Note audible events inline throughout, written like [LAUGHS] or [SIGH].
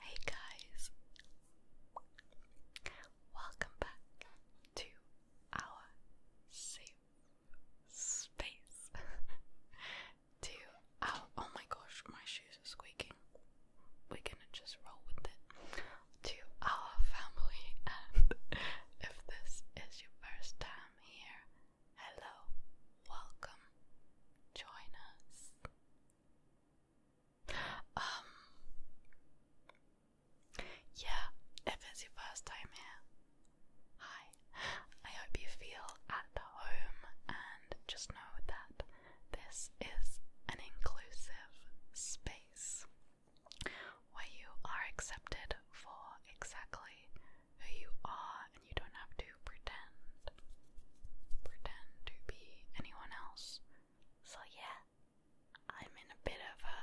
Hey guys, welcome back to our safe space. [LAUGHS] to our oh my gosh, my shoes are squeaking. We're gonna just roll with it to our family. And [LAUGHS] if this is your first time here, hello, welcome, join us. Um, yeah, if it's your first time here, hi. I hope you feel at home and just know that this is an inclusive space where you are accepted for exactly who you are and you don't have to pretend pretend to be anyone else. So yeah, I'm in a bit of a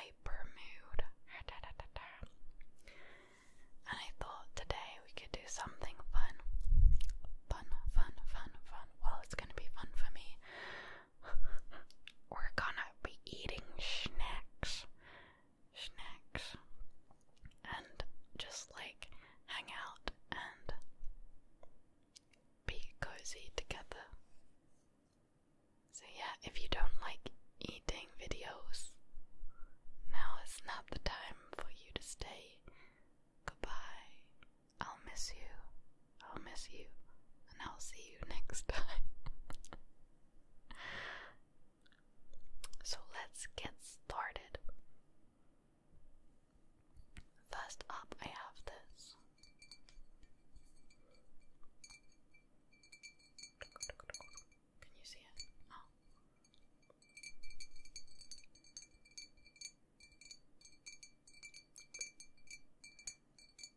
hyper mood. And I thought today we could do something fun. Fun, fun, fun, fun. Well, it's going to be fun for me. We're gonna be eating snacks. Snacks. And just like hang out and be cozy together. So, yeah, if you don't like eating videos, now is not the time for you to stay. Goodbye. I'll miss you. I'll miss you. And I'll see you [LAUGHS] next time. so let's get started. First up, I have this. Can you see it? Oh.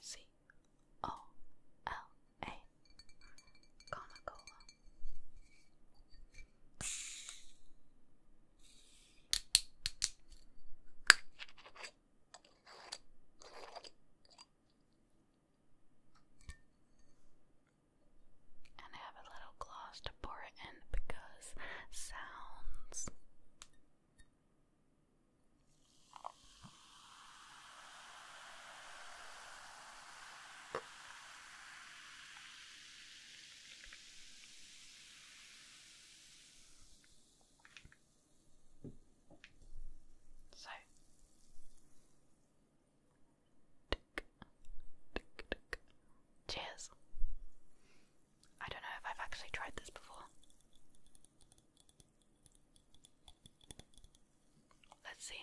C O L A Coca Cola. And have a little gloss to pour it in because sounds so tick, cheers. I don't know if I've actually tried this before. Let's see.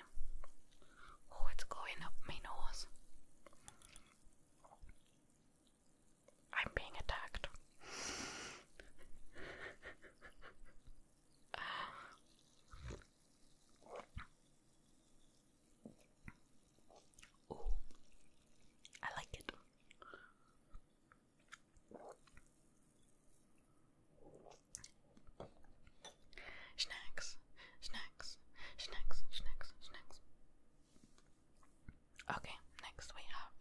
Oh, it's going up my nose. I'm being attacked. Oh, I like it. Snacks, snacks, snacks, snacks, snacks. Okay, next we have.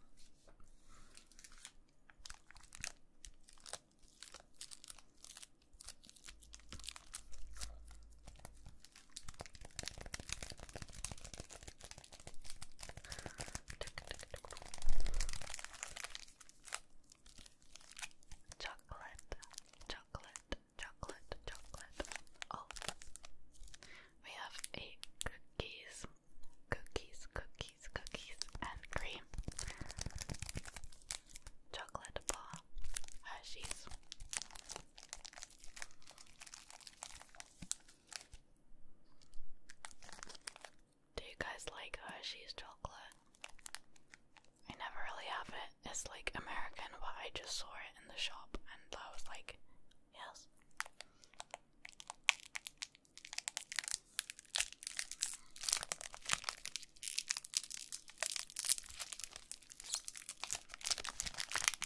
Chocolate, chocolate, chocolate, chocolate. Oh, we have eight cookies, cookies, cookies, cookies, and cream. Chocolate bar, Hershey's. Do you guys like Hershey's chocolate? I never really have it. It's like American, but I just saw it in the shop and I was like, yes.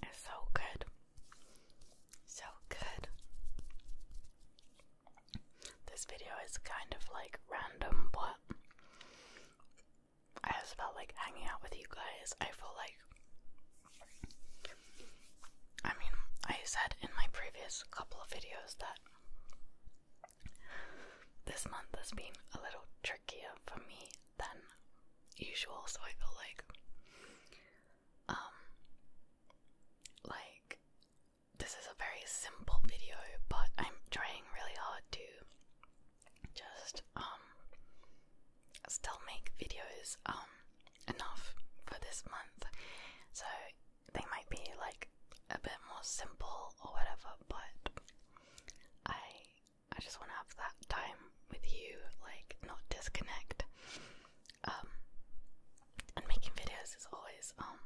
It's so good. So good. This video is kind of like random, but I just felt like hanging out with you guys. I feel like. I mean, I said in my previous couple of videos that this month has been a little trickier for me than usual, so I feel like. Um. Like, this is a very simple video, but I'm trying really hard to just um still make videos um enough for this month. So they might be like a bit more simple or whatever, but I I just want to have that time with you, like not disconnect. Um, and making videos is always um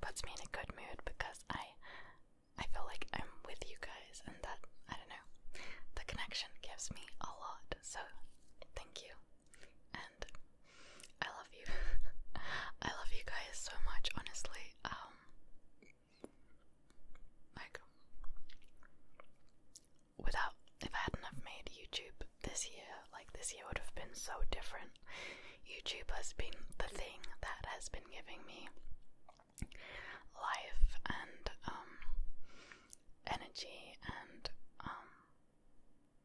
puts me in a good mood because I I feel like I'm with you guys and that I don't know the connection gives me a lot so thank you and I love you [LAUGHS] I love you guys so much honestly um, like without if I hadn't have made YouTube this year like this year would have been so different YouTube has been the thing that has been giving me life and um, energy and um,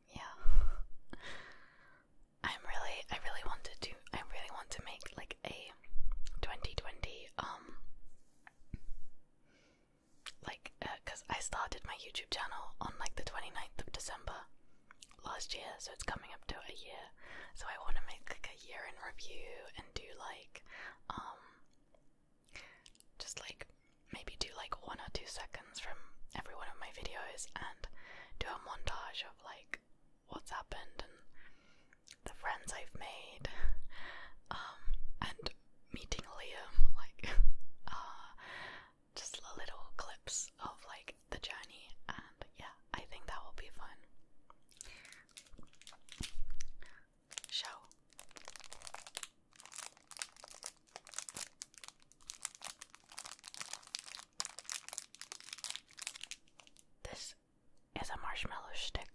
yeah [LAUGHS] I'm really I really want to I really want to make like a 2020 um, like because uh, I started my YouTube channel on like the 29th of December last year, so it's coming up to a year. So I want to make like a year in review and do like, um, just like maybe do like one or two seconds from every one of my videos and do a montage of like what's happened and the friends I've made, um, and meeting Liam, like, [LAUGHS] uh, just little clips of like the journey, and yeah, I think that will be fun. Show. This is a marshmallow stick.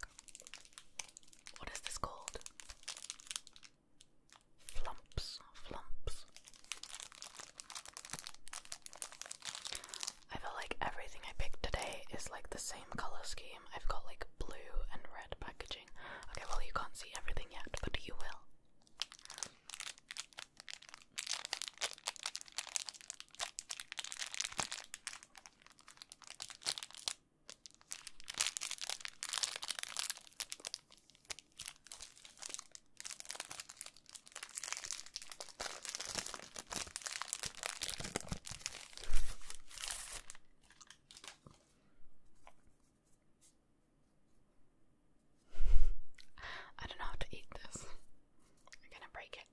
What is this called? Flumps, flumps. I feel like everything I picked today is like the same color scheme. I've got like blue and red packaging. Okay, well, you can't see everything yet, but you will. I don't know how to eat this. I'm gonna break it.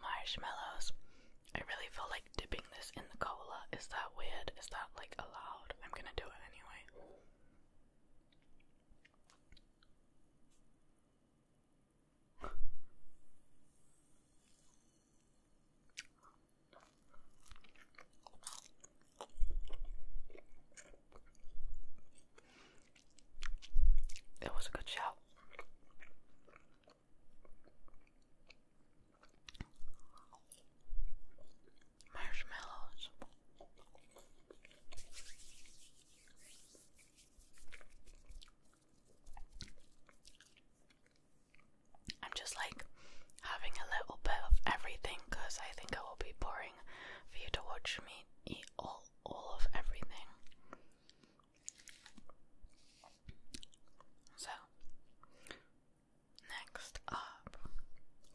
Marshmallows. I really feel like dipping this in the cola. Is that weird? Is that like allowed? I'm gonna do it anyway. It was a good shout. Marshmallows. I'm just like having a little bit of everything because I think it will be boring for you to watch me eat all all of everything. So, next up,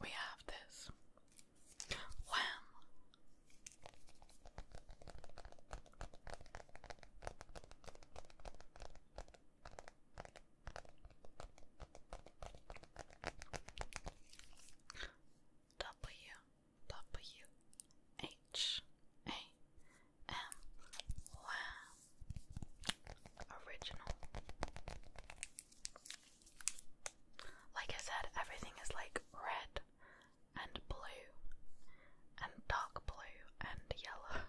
we have this W W H A M. Original. Like I said, everything is like red and blue and dark blue and yellow.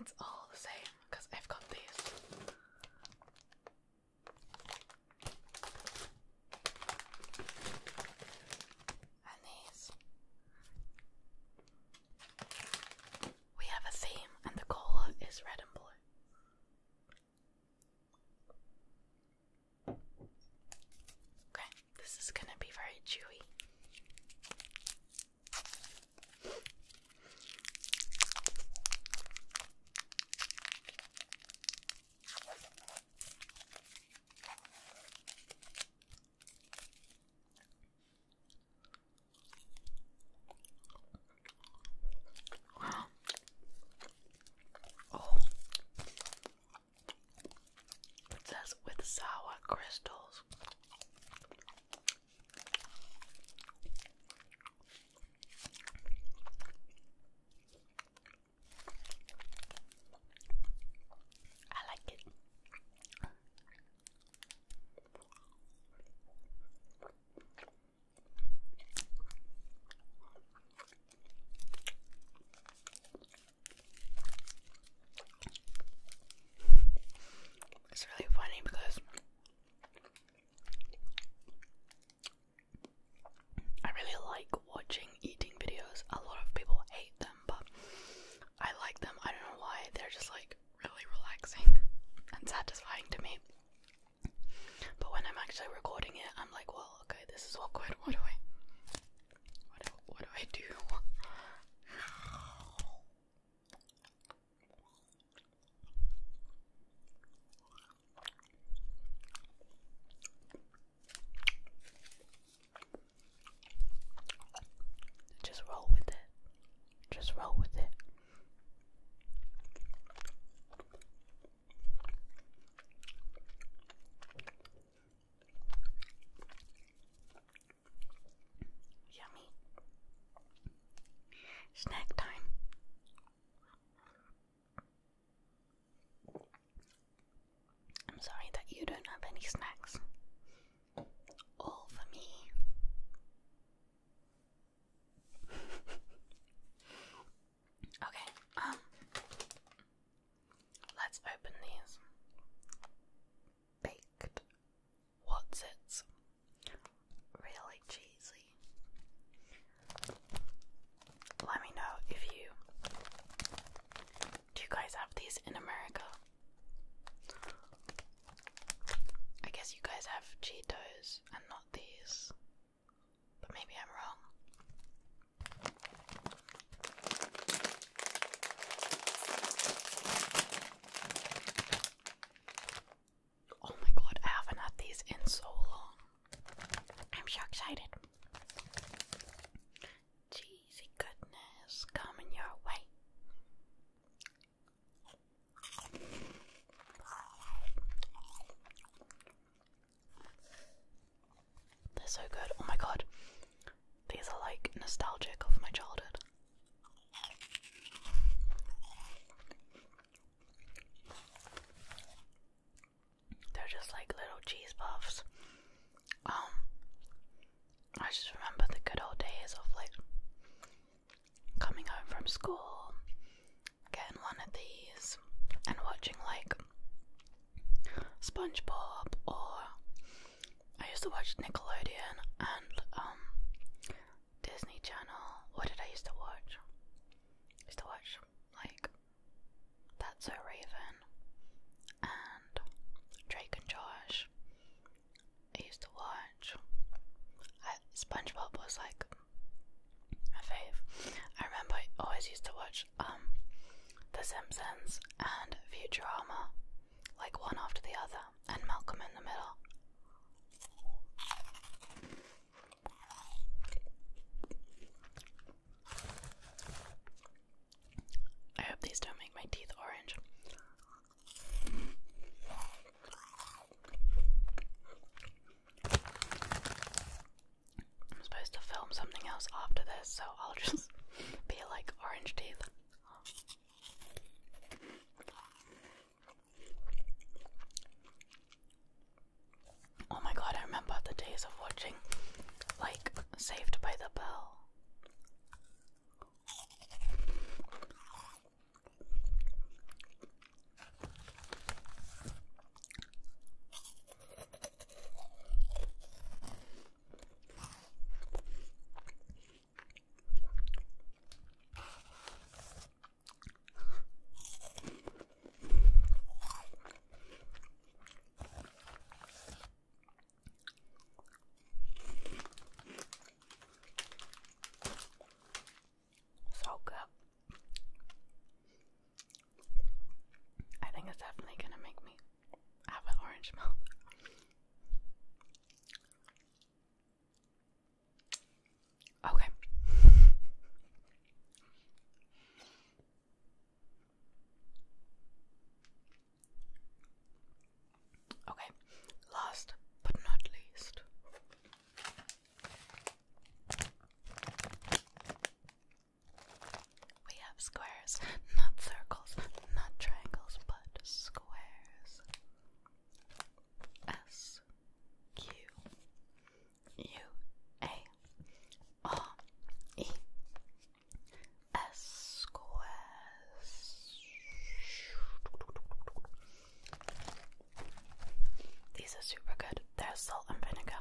It's all the same because I've got these and these. We have a theme, and the cola is red and blue. Okay, this is going to be very chewy. Oh, it says with sour crystals. I like it. It's really funny because I really like watching eating videos. A lot of people hate them, but I like them. I don't know why. They're just like really relaxing [LAUGHS] and satisfying to me. But when I'm actually recording it, I'm like, well, okay, this is awkward. [LAUGHS] What do I, what do, I do? Just roll with it. Just roll with it. Yummy. Snack time. I'm sorry that you don't have any snacks. All for me. [LAUGHS] okay, um, let's open these baked Watsits. Really cheesy. Let me know if you do you guys have these in America? I guess you guys have Cheetos and not these. But maybe I'm wrong. Oh my god, I haven't had these in so long. I'm so excited. Cheesy goodness coming your way. They're so good. Oh my god. These are like nostalgic of my childhood. They're just like little cheese puffs. Um, I just remember the good old days of like coming home from school, getting one of these, and watching like SpongeBob, or I used to watch Nickelodeon and um Disney Channel. What did I used to watch? I used to watch like that's a Raven. And Drake and Josh. I used to watch. SpongeBob was like my fave. I remember I always used to watch um The Simpsons and Futurama, like one after the other, and Malcolm in the Middle. I hope these don't make my teeth orange. I'm supposed to film something else after this, so I'll just [LAUGHS] be like orange teeth. Oh my god, I remember the days of watching like Saved by the Bell. So good. I think it's definitely gonna make me have an orange mouth. Okay. Okay, last but not least. We have squares, not circles, not triangles, but squares. S Q U A R E S squares. These are super good. They're salt and vinegar.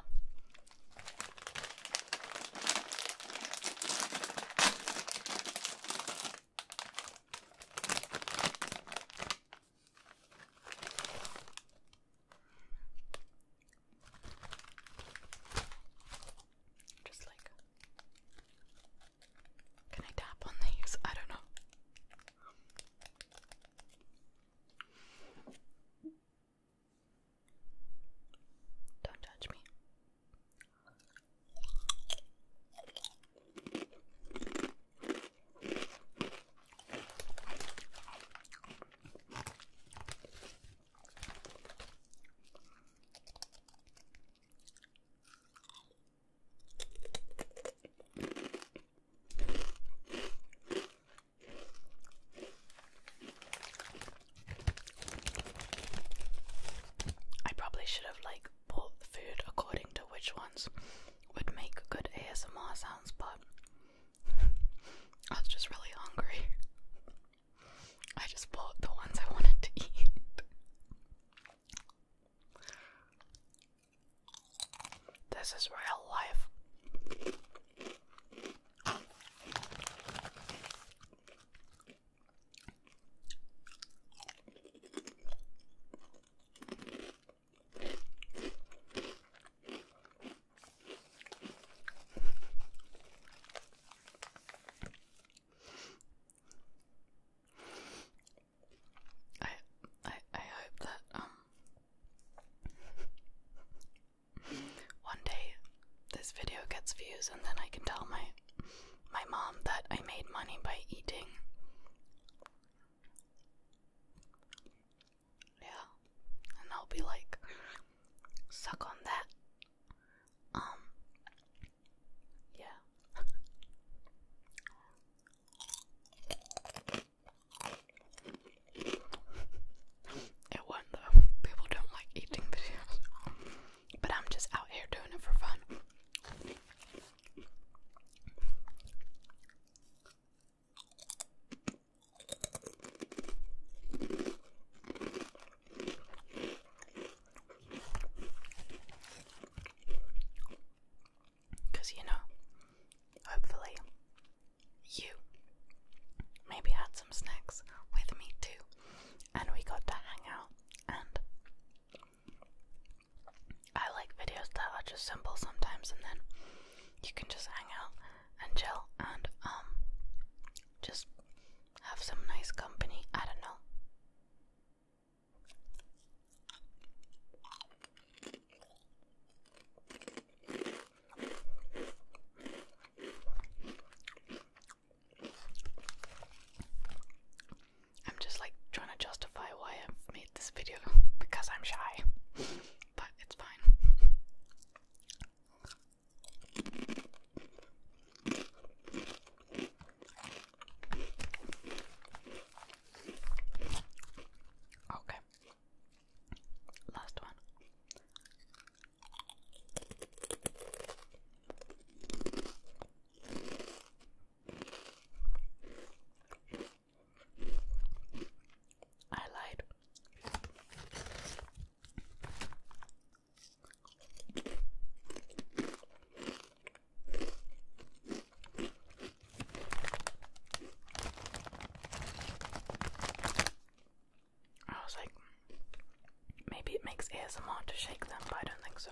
Just like, can I tap on these? I don't know. Don't judge me. I probably should have like bought food according to which ones would make good ASMR sounds, but I was just really hungry. I just bought the ones I wanted to eat. This is real life. I I I hope that um one day this video gets views and then I can tell my my mom that I made money by eating yeah. And I'll be like, suck on that. Um, yeah. It won't though. People don't like eating videos. But I'm just out here doing it for fun. Because you know, hopefully, you maybe had some snacks with me too, and we got to hang out. And I like videos that are just simple sometimes, and then you can just hang out and chill and um just have some nice company. I don't know. I'm just like trying to justify why i made this video [LAUGHS] because I'm shy, [LAUGHS] but it's fine. Okay. Last one. I lied. I was like, maybe it makes a lot to shake them, but I don't think so.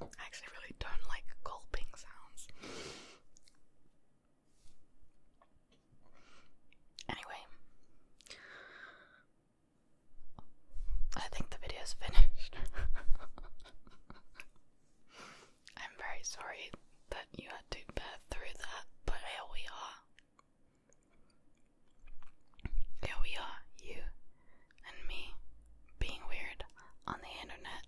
I actually really don't like gulping sounds. Anyway, I think the video is finished. [LAUGHS] I'm very sorry that you had to bear through that, but here we are. Here we are, you and me, being weird on the internet.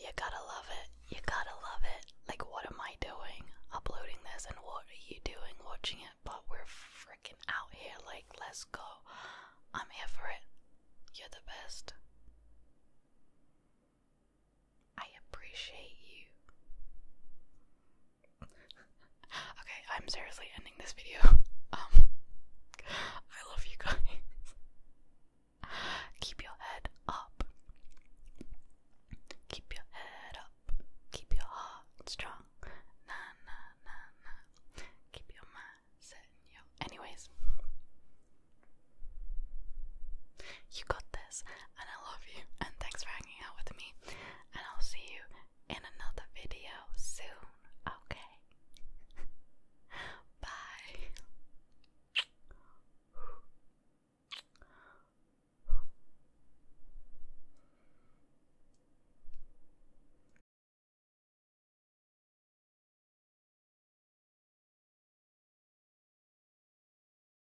You gotta love it. You gotta love it. Like, what am I doing uploading this, and what are you doing watching it? But we're freaking out here. Like, let's go. I'm here for it. You're the best. I appreciate you. [LAUGHS] okay, I'm seriously ending this video. [LAUGHS] Um, I love you guys. [LAUGHS] Keep your head up. Keep your head up. Keep your heart strong. Na na na na. Keep your mind Anyways, you got this and I love you and thanks for hanging out with me and I'll see you in another video soon. Okay. [LAUGHS] Bye.